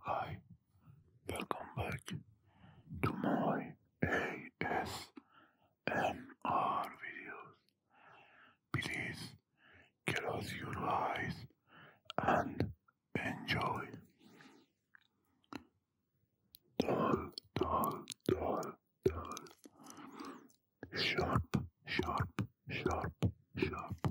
Hi, welcome back to my ASMR videos. Please close your eyes and enjoy. Dull, dull, dull, dull. Sharp, sharp, sharp, sharp.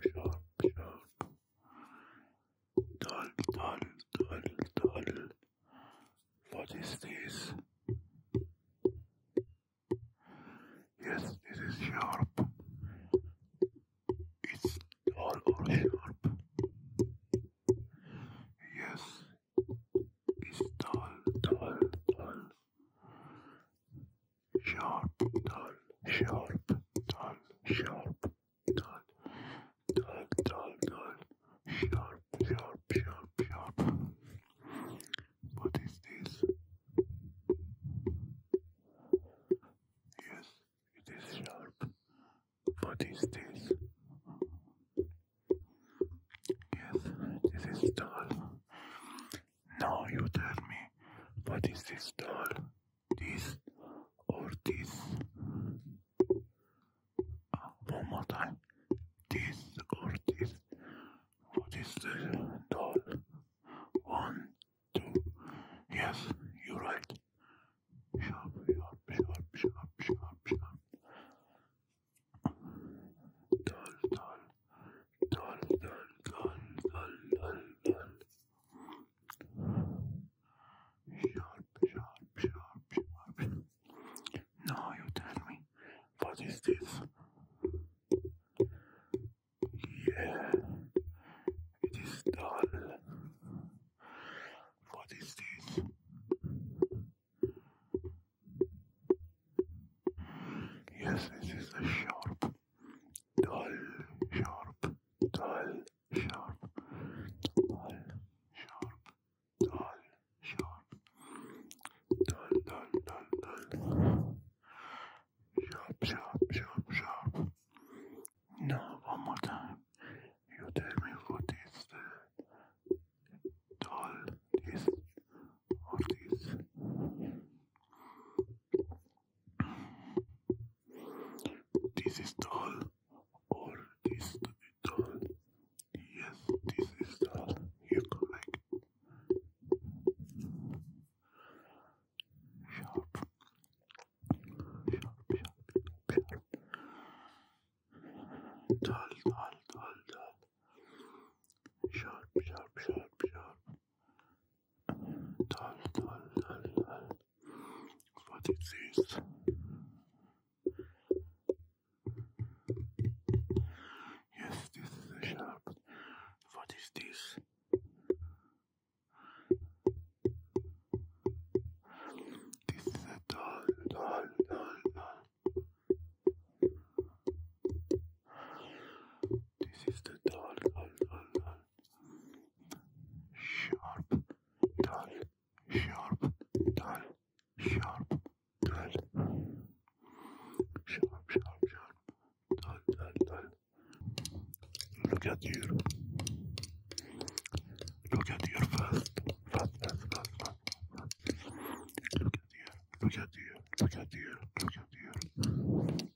Björn, Björn. Doll, doll, doll, doll. What is this? Yes, this is sharp. It's dull or sharp. Yes, it's dull, dull, dull sharp, dull, sharp, dull, sharp, dull, dull, dull, dull, sharp, sharp, sharp, sharp. What is this? Yes, it is sharp. What is this? Yes, this is dull. Now you tell me, what is this doll? This or this? Uh, one more time. This or this? What is the doll? One, two. Yes, you're right. Sharp, sharp, sharp, sharp, sharp, sharp. Doll, doll dun dun dun dun dun dun. Sharp, sharp, sharp, sharp. Now you tell me, what is this? Yeah, it is dull. What is this? Yes, this is a sharp dull, sharp, dull, sharp, dull, sharp, dull, sharp, dull, dull, dull, dull, sharp, sharp, sharp, sharp. Now one more time. You tell me what is the dull, this, or this. This is tall, or this to tall. Yes, this is tall. You correct. Sharp, sharp, sharp, sharp. Tall, tall, tall, tall. Sharp, sharp, sharp, sharp. Tal, tal, tal, What is this? Yes, this is a sharp. What is this? This is a dull, dull, this is the dull, dull, dull, dull. Sharp, dull, sharp, dull, sharp, dull. Sharp, sharp, sharp, dull, dull, dull. Look at your, look at your fast, fast, fast, fast, fast. Look at you, look at you, look at you, look at you.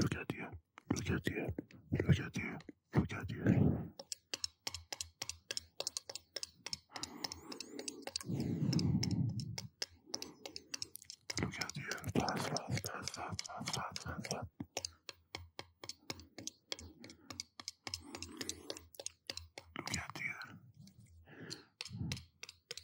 Look at you. Look at you. Look at you. Look at you. Look at you. Fast, fast, fast, fast, fast, fast, fast, Look at you.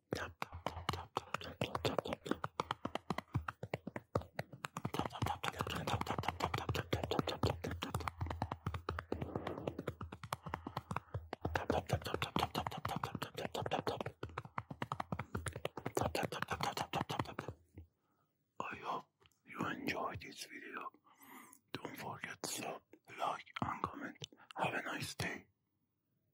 I hope you enjoyed this video. Don't forget to like, and comment. Have a nice day.